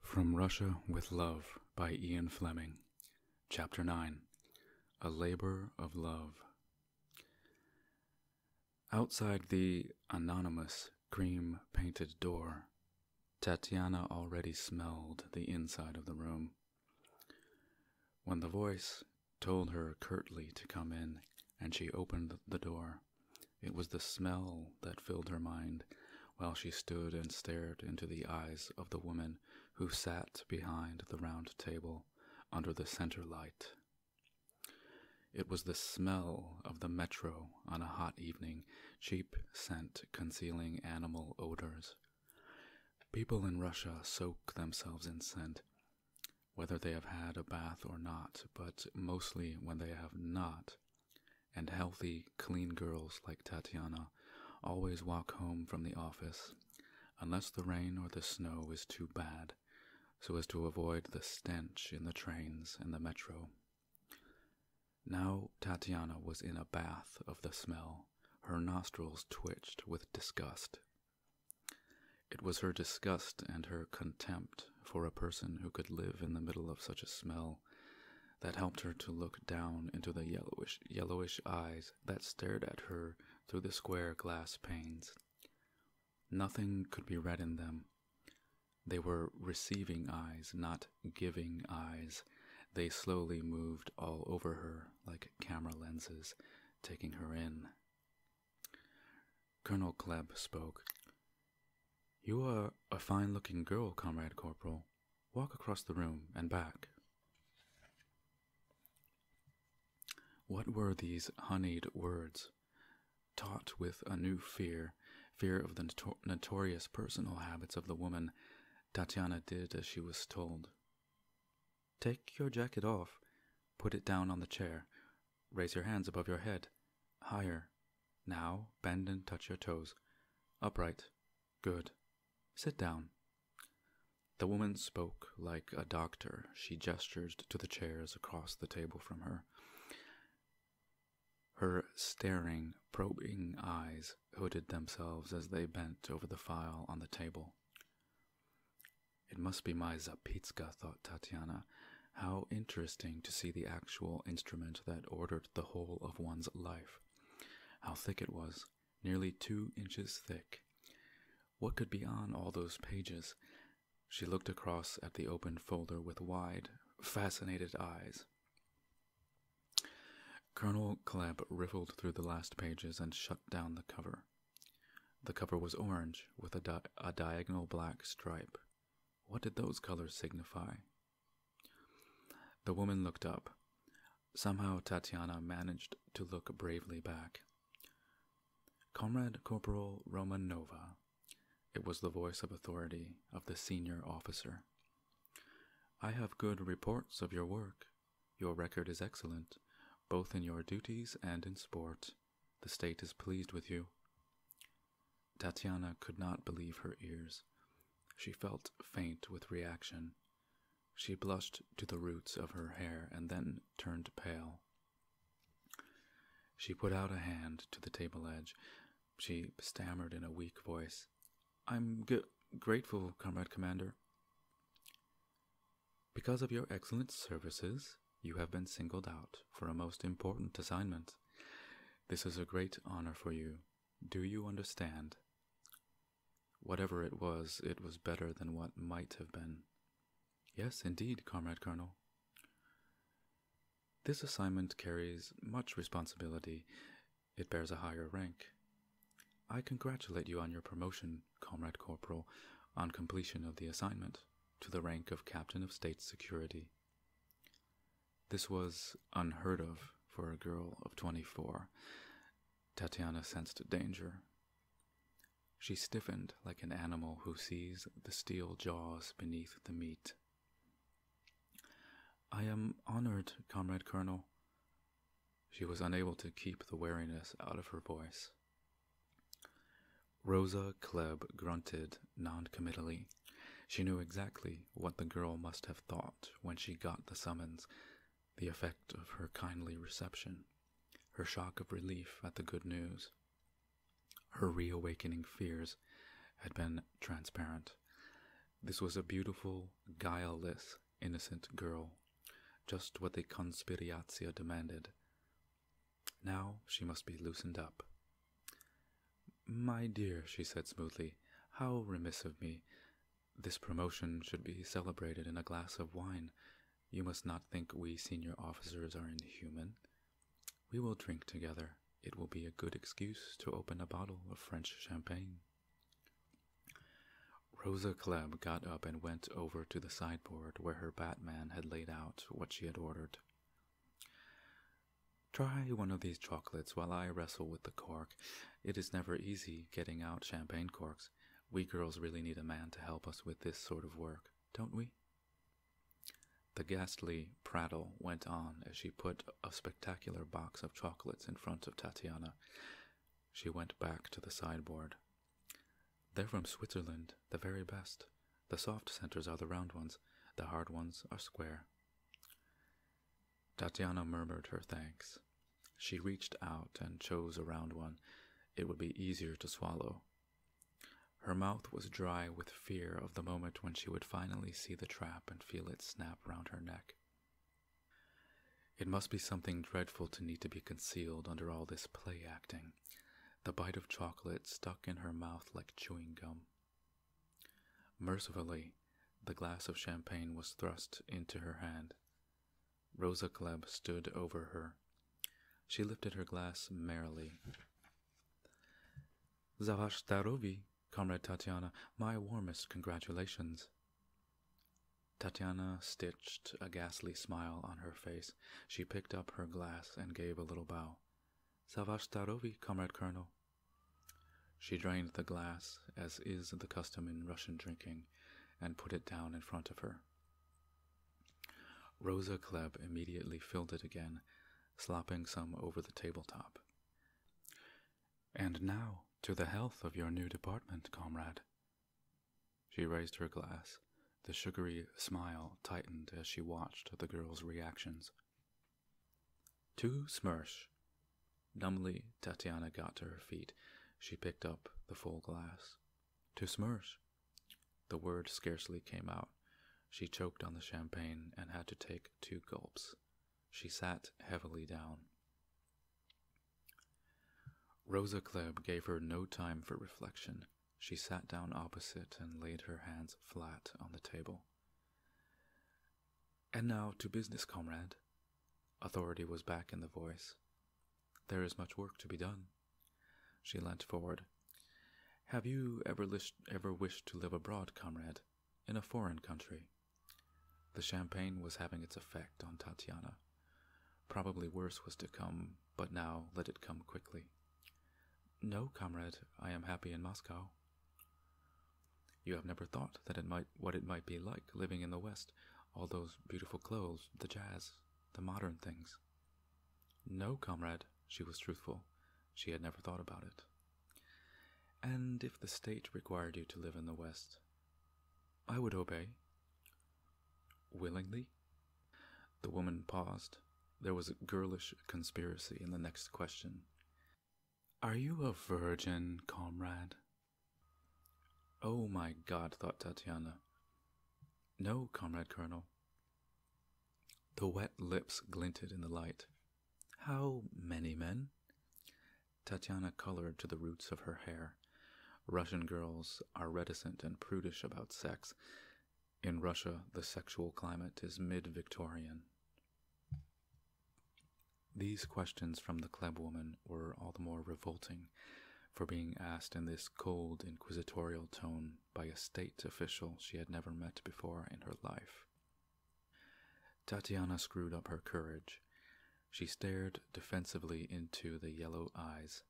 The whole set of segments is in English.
From Russia with Love by Ian Fleming. Chapter 9 A Labor of Love. Outside the anonymous cream painted door, Tatiana already smelled the inside of the room. When the voice told her curtly to come in, and she opened the door. It was the smell that filled her mind while she stood and stared into the eyes of the woman who sat behind the round table under the center light. It was the smell of the metro on a hot evening, cheap scent concealing animal odors. People in Russia soak themselves in scent whether they have had a bath or not, but mostly when they have not. And healthy, clean girls like Tatiana always walk home from the office, unless the rain or the snow is too bad, so as to avoid the stench in the trains and the metro. Now Tatiana was in a bath of the smell. Her nostrils twitched with disgust it was her disgust and her contempt for a person who could live in the middle of such a smell that helped her to look down into the yellowish, yellowish eyes that stared at her through the square glass panes. Nothing could be read in them. They were receiving eyes, not giving eyes. They slowly moved all over her like camera lenses, taking her in. Colonel Klebb spoke. You are a fine looking girl, Comrade Corporal. Walk across the room and back. What were these honeyed words? Taught with a new fear, fear of the notorious personal habits of the woman, Tatiana did as she was told. Take your jacket off. Put it down on the chair. Raise your hands above your head. Higher. Now bend and touch your toes. Upright. Good. Sit down. The woman spoke like a doctor. She gestured to the chairs across the table from her. Her staring, probing eyes hooded themselves as they bent over the file on the table. It must be my Zapitska, thought Tatiana. How interesting to see the actual instrument that ordered the whole of one's life. How thick it was, nearly two inches thick. What could be on all those pages? She looked across at the open folder with wide, fascinated eyes. Colonel Clamp riffled through the last pages and shut down the cover. The cover was orange with a, a diagonal black stripe. What did those colors signify? The woman looked up. Somehow Tatiana managed to look bravely back. Comrade Corporal Romanova. It was the voice of authority of the senior officer. I have good reports of your work, your record is excellent, both in your duties and in sport. The state is pleased with you. Tatiana could not believe her ears. She felt faint with reaction. She blushed to the roots of her hair and then turned pale. She put out a hand to the table edge. She stammered in a weak voice, I'm g- grateful, Comrade Commander. Because of your excellent services, you have been singled out for a most important assignment. This is a great honor for you. Do you understand? Whatever it was, it was better than what might have been. Yes, indeed, Comrade Colonel. This assignment carries much responsibility. It bears a higher rank. I congratulate you on your promotion, Comrade Corporal, on completion of the assignment, to the rank of Captain of State Security. This was unheard of for a girl of 24. Tatiana sensed danger. She stiffened like an animal who sees the steel jaws beneath the meat. I am honored, Comrade Colonel. She was unable to keep the wariness out of her voice. Rosa Klebb grunted noncommittally. She knew exactly what the girl must have thought when she got the summons, the effect of her kindly reception, her shock of relief at the good news. Her reawakening fears had been transparent. This was a beautiful, guileless innocent girl, just what the conspirazione demanded. Now she must be loosened up. My dear, she said smoothly, how remiss of me. This promotion should be celebrated in a glass of wine. You must not think we senior officers are inhuman. We will drink together. It will be a good excuse to open a bottle of French champagne. Rosa Kleb got up and went over to the sideboard where her batman had laid out what she had ordered. Try one of these chocolates while I wrestle with the cork. It is never easy getting out champagne corks. We girls really need a man to help us with this sort of work, don't we? The ghastly prattle went on as she put a spectacular box of chocolates in front of Tatiana. She went back to the sideboard, they're from Switzerland, the very best. The soft centers are the round ones, the hard ones are square. Tatiana murmured her thanks. She reached out and chose a round one. It would be easier to swallow. Her mouth was dry with fear of the moment when she would finally see the trap and feel it snap round her neck. It must be something dreadful to need to be concealed under all this play acting. The bite of chocolate stuck in her mouth like chewing gum. Mercifully, the glass of champagne was thrust into her hand. Rosa Kleb stood over her. She lifted her glass merrily. Zavashtarovi, Comrade Tatiana, my warmest congratulations. Tatiana stitched a ghastly smile on her face. She picked up her glass and gave a little bow. Savashtarovi, comrade colonel. She drained the glass, as is the custom in Russian drinking, and put it down in front of her. Rosa Kleb immediately filled it again, slopping some over the tabletop. And now to the health of your new department, comrade. She raised her glass. The sugary smile tightened as she watched the girl's reactions. To smirsh. Numbly, Tatiana got to her feet. She picked up the full glass. To smirsh. The word scarcely came out. She choked on the champagne and had to take two gulps. She sat heavily down. Rosa Kleb gave her no time for reflection. She sat down opposite and laid her hands flat on the table. And now to business, comrade. Authority was back in the voice. There is much work to be done. She leant forward. Have you ever, ever wished to live abroad, comrade, in a foreign country? The champagne was having its effect on Tatiana. Probably worse was to come, but now let it come quickly. No, comrade, I am happy in Moscow. You have never thought that it might what it might be like living in the West, all those beautiful clothes, the jazz, the modern things. No, comrade, she was truthful. She had never thought about it. And if the state required you to live in the West, I would obey, Willingly? The woman paused. There was a girlish conspiracy in the next question. Are you a virgin, comrade? Oh my god, thought Tatiana. No, comrade colonel. The wet lips glinted in the light. How many men? Tatiana colored to the roots of her hair. Russian girls are reticent and prudish about sex. In Russia, the sexual climate is mid Victorian. These questions from the club woman were all the more revolting for being asked in this cold, inquisitorial tone by a state official she had never met before in her life. Tatiana screwed up her courage. She stared defensively into the yellow eyes.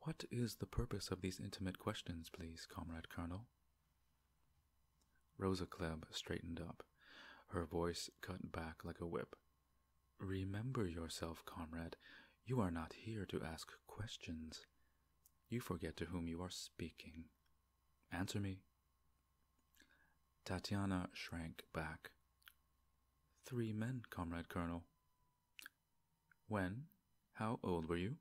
What is the purpose of these intimate questions, please, Comrade Colonel? Rosa Kleb straightened up. Her voice cut back like a whip. Remember yourself, comrade. You are not here to ask questions. You forget to whom you are speaking. Answer me. Tatiana shrank back. Three men, Comrade Colonel. When? How old were you?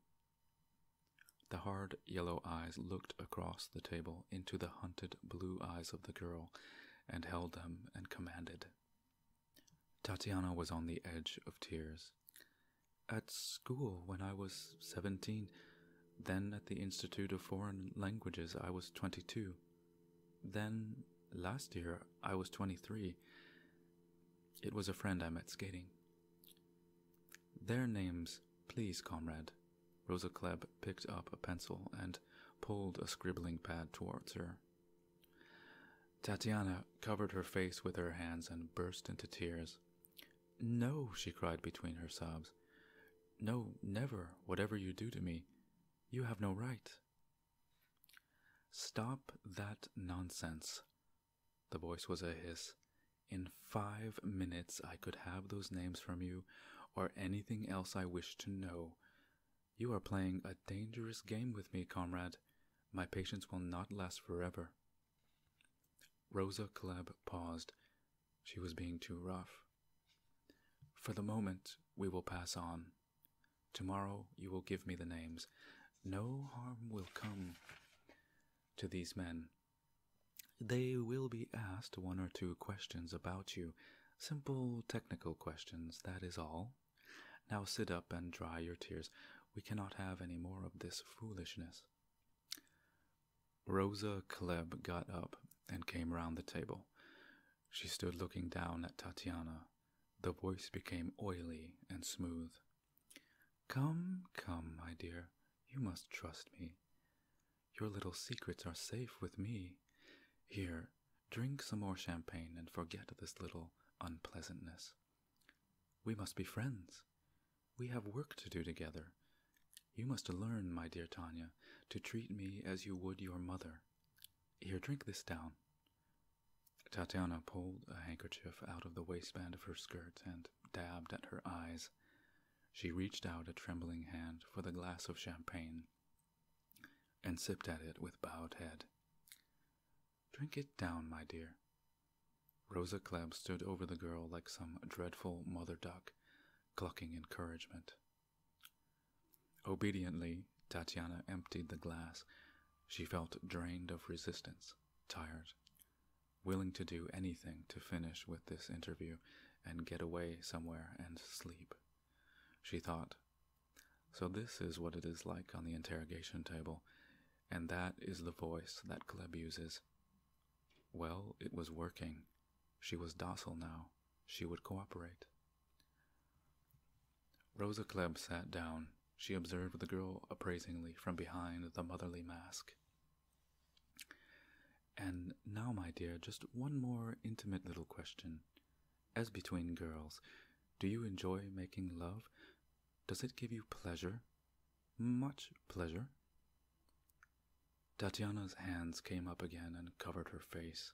The hard yellow eyes looked across the table into the hunted blue eyes of the girl and held them and commanded. Tatiana was on the edge of tears. At school when I was seventeen, then at the Institute of Foreign Languages I was twenty two. Then, last year, I was 23. It was a friend I met skating. Their names, please, comrade. Rosa Klebb picked up a pencil and pulled a scribbling pad towards her. Tatiana covered her face with her hands and burst into tears. No, she cried between her sobs. No, never, whatever you do to me. You have no right. Stop that nonsense. The voice was a hiss. In five minutes, I could have those names from you or anything else I wish to know. You are playing a dangerous game with me, comrade. My patience will not last forever. Rosa Klebb paused. She was being too rough. For the moment, we will pass on. Tomorrow you will give me the names. No harm will come to these men. They will be asked one or two questions about you, simple technical questions, that is all. Now sit up and dry your tears. We cannot have any more of this foolishness. Rosa Klebb got up and came round the table. She stood looking down at Tatiana. The voice became oily and smooth. Come, come, my dear, you must trust me. Your little secrets are safe with me. Here, drink some more champagne and forget this little unpleasantness. We must be friends. We have work to do together. You must learn, my dear Tanya, to treat me as you would your mother. Here, drink this down. Tatiana pulled a handkerchief out of the waistband of her skirt and dabbed at her eyes. She reached out a trembling hand for the glass of champagne and sipped at it with bowed head. Drink it down, my dear. Rosa Klebb stood over the girl like some dreadful mother duck, clucking encouragement Obediently, Tatiana emptied the glass. She felt drained of resistance, tired, willing to do anything to finish with this interview and get away somewhere and sleep. She thought, So this is what it is like on the interrogation table, and that is the voice that Kleb uses. Well, it was working. She was docile now. She would cooperate. Rosa Klebb sat down. She observed the girl appraisingly from behind the motherly mask. And now, my dear, just one more intimate little question. As between girls, do you enjoy making love? Does it give you pleasure? Much pleasure? Tatiana's hands came up again and covered her face.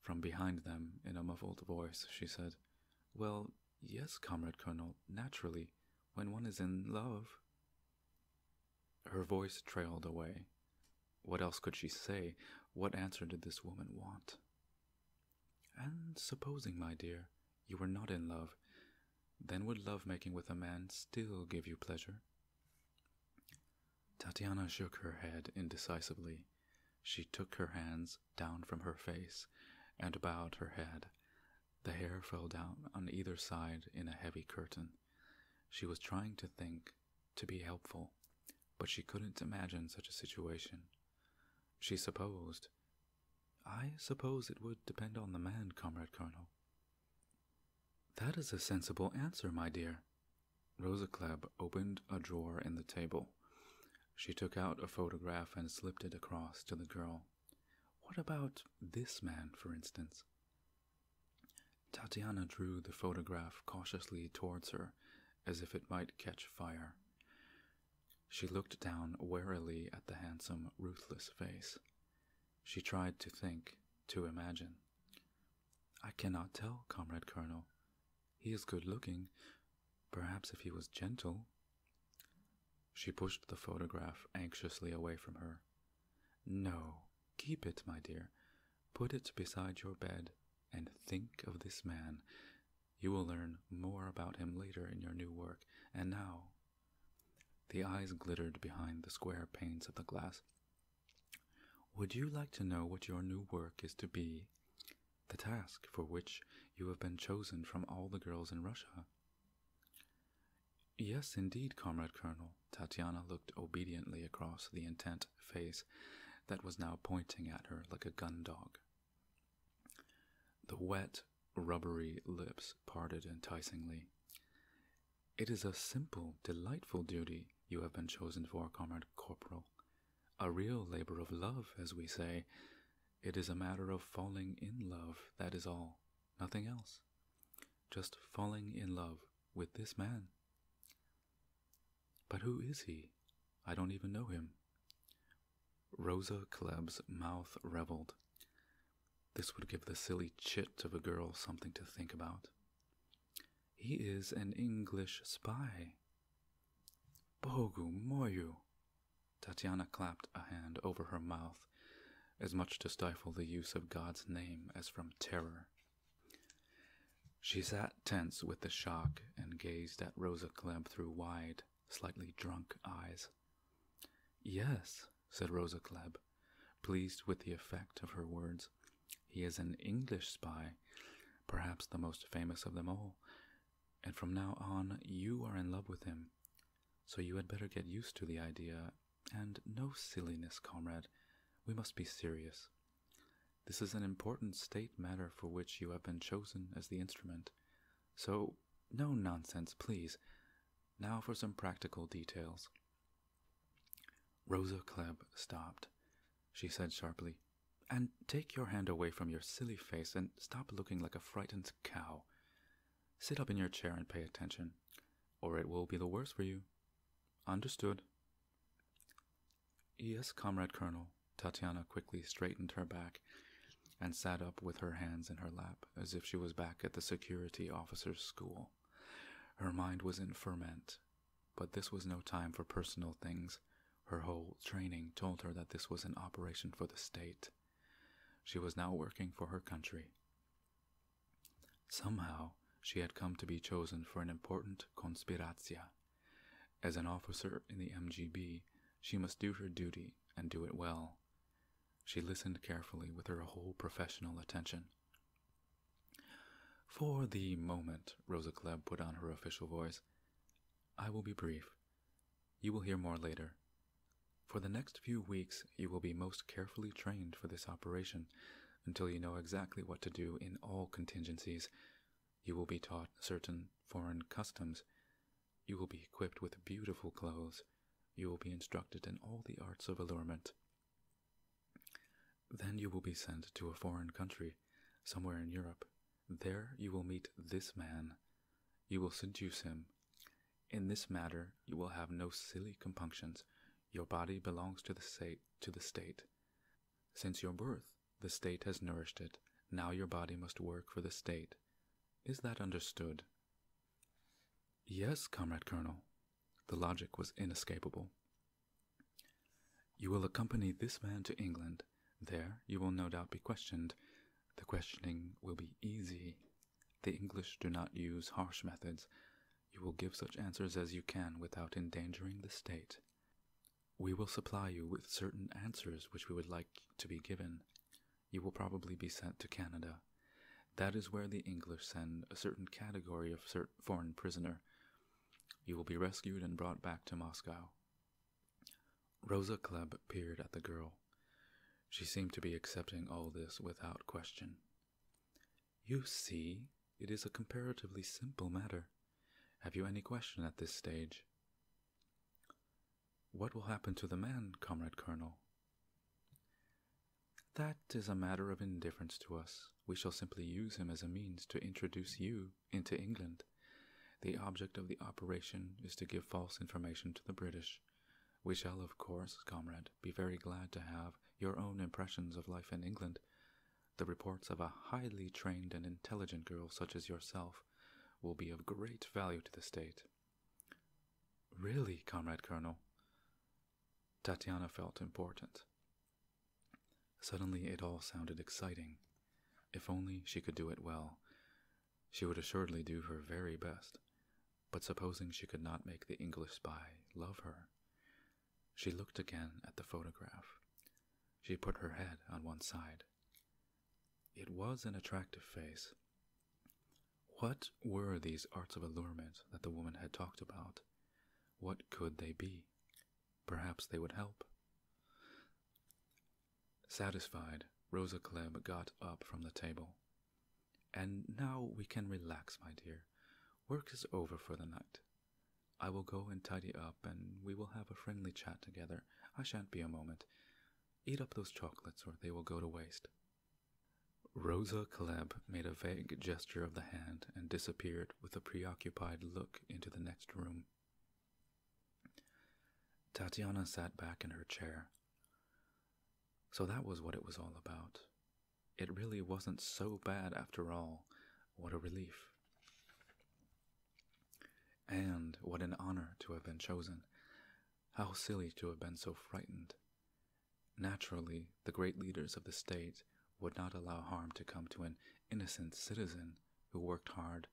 From behind them, in a muffled voice, she said, Well, yes, Comrade Colonel, naturally, when one is in love. Her voice trailed away. What else could she say? What answer did this woman want? And supposing, my dear, you were not in love, then would love making with a man still give you pleasure? Tatiana shook her head indecisively. She took her hands down from her face and bowed her head. The hair fell down on either side in a heavy curtain. She was trying to think, to be helpful, but she couldn't imagine such a situation. She supposed. I suppose it would depend on the man, Comrade Colonel. That is a sensible answer, my dear. Rosa Klebb opened a drawer in the table. She took out a photograph and slipped it across to the girl. What about this man, for instance? Tatiana drew the photograph cautiously towards her, as if it might catch fire. She looked down warily at the handsome, ruthless face. She tried to think, to imagine. I cannot tell, Comrade Colonel. He is good looking. Perhaps if he was gentle. She pushed the photograph anxiously away from her. No, keep it, my dear. Put it beside your bed and think of this man. You will learn more about him later in your new work. And now. The eyes glittered behind the square panes of the glass. Would you like to know what your new work is to be? The task for which you have been chosen from all the girls in Russia? Yes, indeed, comrade colonel. Tatiana looked obediently across the intent face that was now pointing at her like a gun dog. The wet, rubbery lips parted enticingly. It is a simple, delightful duty you have been chosen for, Comrade Corporal. A real labor of love, as we say. It is a matter of falling in love, that is all. Nothing else. Just falling in love with this man. But who is he? I don't even know him. Rosa Kleb's mouth reveled. This would give the silly chit of a girl something to think about. He is an English spy. Bogumoyu, Tatiana clapped a hand over her mouth, as much to stifle the use of God's name as from terror. She sat tense with the shock and gazed at Rosa Klebb through wide, slightly drunk eyes. Yes, said Rosa Klebb, pleased with the effect of her words. He is an English spy, perhaps the most famous of them all, and from now on you are in love with him. So you had better get used to the idea, and no silliness, comrade. We must be serious. This is an important state matter for which you have been chosen as the instrument. So, no nonsense, please. Now for some practical details. Rosa Kleb stopped. She said sharply, And take your hand away from your silly face and stop looking like a frightened cow. Sit up in your chair and pay attention, or it will be the worse for you. Understood. Yes, Comrade Colonel. Tatiana quickly straightened her back and sat up with her hands in her lap as if she was back at the security officer's school. Her mind was in ferment, but this was no time for personal things. Her whole training told her that this was an operation for the state. She was now working for her country. Somehow, she had come to be chosen for an important conspirazione. As an officer in the MGB, she must do her duty and do it well. She listened carefully with her whole professional attention. For the moment, Rosa Klebb put on her official voice, I will be brief. You will hear more later. For the next few weeks, you will be most carefully trained for this operation until you know exactly what to do in all contingencies. You will be taught certain foreign customs. You will be equipped with beautiful clothes. You will be instructed in all the arts of allurement, then you will be sent to a foreign country, somewhere in Europe. There you will meet this man. You will seduce him. In this matter you will have no silly compunctions. Your body belongs to the state to the state. Since your birth, the state has nourished it. Now your body must work for the state. Is that understood? Yes, Comrade Colonel. The logic was inescapable. You will accompany this man to England. There you will no doubt be questioned. The questioning will be easy. The English do not use harsh methods. You will give such answers as you can without endangering the state. We will supply you with certain answers which we would like to be given. You will probably be sent to Canada. That is where the English send a certain category of cert foreign prisoner you will be rescued and brought back to Moscow. Rosa Klebb peered at the girl. She seemed to be accepting all this without question. You see, it is a comparatively simple matter. Have you any question at this stage? What will happen to the man, Comrade Colonel? That is a matter of indifference to us. We shall simply use him as a means to introduce you into England. The object of the operation is to give false information to the British. We shall, of course, comrade, be very glad to have your own impressions of life in England. The reports of a highly trained and intelligent girl such as yourself will be of great value to the state. Really, comrade colonel? Tatiana felt important. Suddenly it all sounded exciting. If only she could do it well. She would assuredly do her very best. But supposing she could not make the English spy love her? She looked again at the photograph. She put her head on one side. It was an attractive face. What were these arts of allurement that the woman had talked about? What could they be? Perhaps they would help. Satisfied, Rosa Klebb got up from the table. And now we can relax, my dear. Work is over for the night. I will go and tidy up, and we will have a friendly chat together. I shan't be a moment. Eat up those chocolates, or they will go to waste. Rosa Caleb made a vague gesture of the hand and disappeared with a preoccupied look into the next room. Tatiana sat back in her chair. So that was what it was all about. It really wasn't so bad after all. What a relief. And what an honor to have been chosen. How silly to have been so frightened. Naturally, the great leaders of the state would not allow harm to come to an innocent citizen who worked hard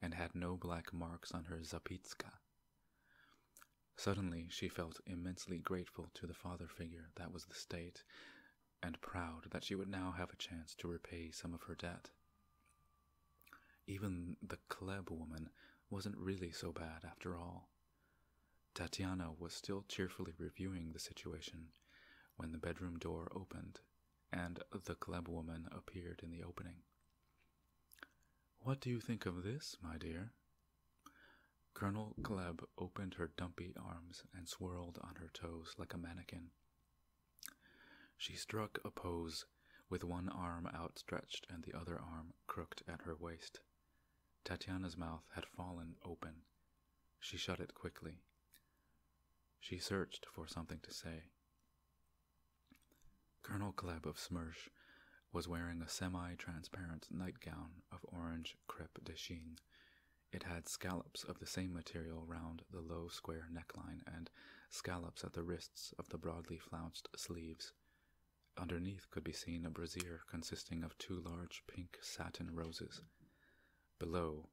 and had no black marks on her zapitska. Suddenly, she felt immensely grateful to the father figure that was the state, and proud that she would now have a chance to repay some of her debt. Even the Kleb woman wasn't really so bad after all. Tatiana was still cheerfully reviewing the situation when the bedroom door opened and the Kleb woman appeared in the opening. What do you think of this, my dear? Colonel Kleb opened her dumpy arms and swirled on her toes like a mannequin. She struck a pose with one arm outstretched and the other arm crooked at her waist. Tatiana's mouth had fallen open. She shut it quickly. She searched for something to say. Colonel Kleb of Smersh was wearing a semi transparent nightgown of orange crepe de chine. It had scallops of the same material round the low square neckline and scallops at the wrists of the broadly flounced sleeves. Underneath could be seen a brazier consisting of two large pink satin roses. Below,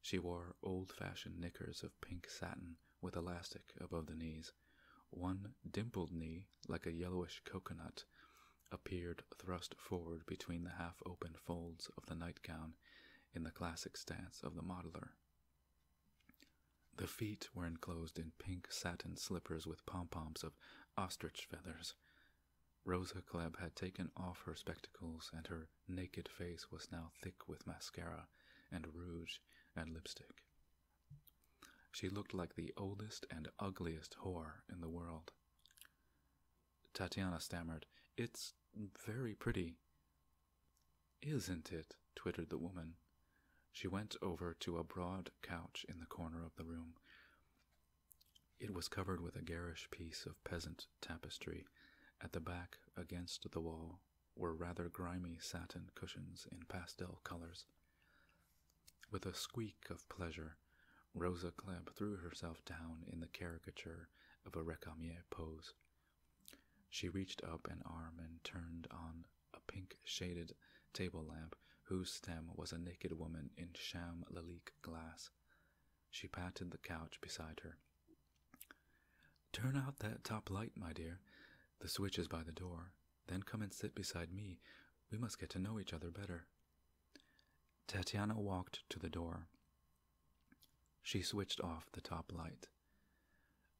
she wore old fashioned knickers of pink satin with elastic above the knees. One dimpled knee, like a yellowish coconut, appeared thrust forward between the half opened folds of the nightgown in the classic stance of the modeler. The feet were enclosed in pink satin slippers with pom poms of ostrich feathers, Rosa Klebb had taken off her spectacles, and her naked face was now thick with mascara and rouge and lipstick. She looked like the oldest and ugliest whore in the world. Tatiana stammered, It's very pretty. Isn't it? twittered the woman. She went over to a broad couch in the corner of the room. It was covered with a garish piece of peasant tapestry. At the back, against the wall, were rather grimy satin cushions in pastel colors. With a squeak of pleasure, Rosa Klebb threw herself down in the caricature of a recamier pose. She reached up an arm and turned on a pink shaded table lamp whose stem was a naked woman in sham Lalique glass. She patted the couch beside her. Turn out that top light, my dear. The switch is by the door. Then come and sit beside me. We must get to know each other better. Tatiana walked to the door. She switched off the top light.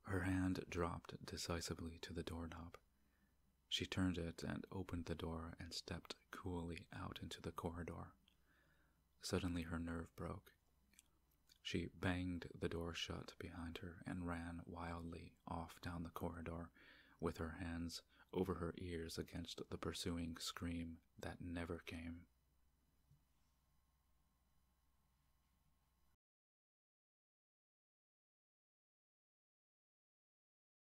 Her hand dropped decisively to the doorknob. She turned it and opened the door and stepped coolly out into the corridor. Suddenly her nerve broke. She banged the door shut behind her and ran wildly off down the corridor with her hands over her ears against the pursuing scream that never came.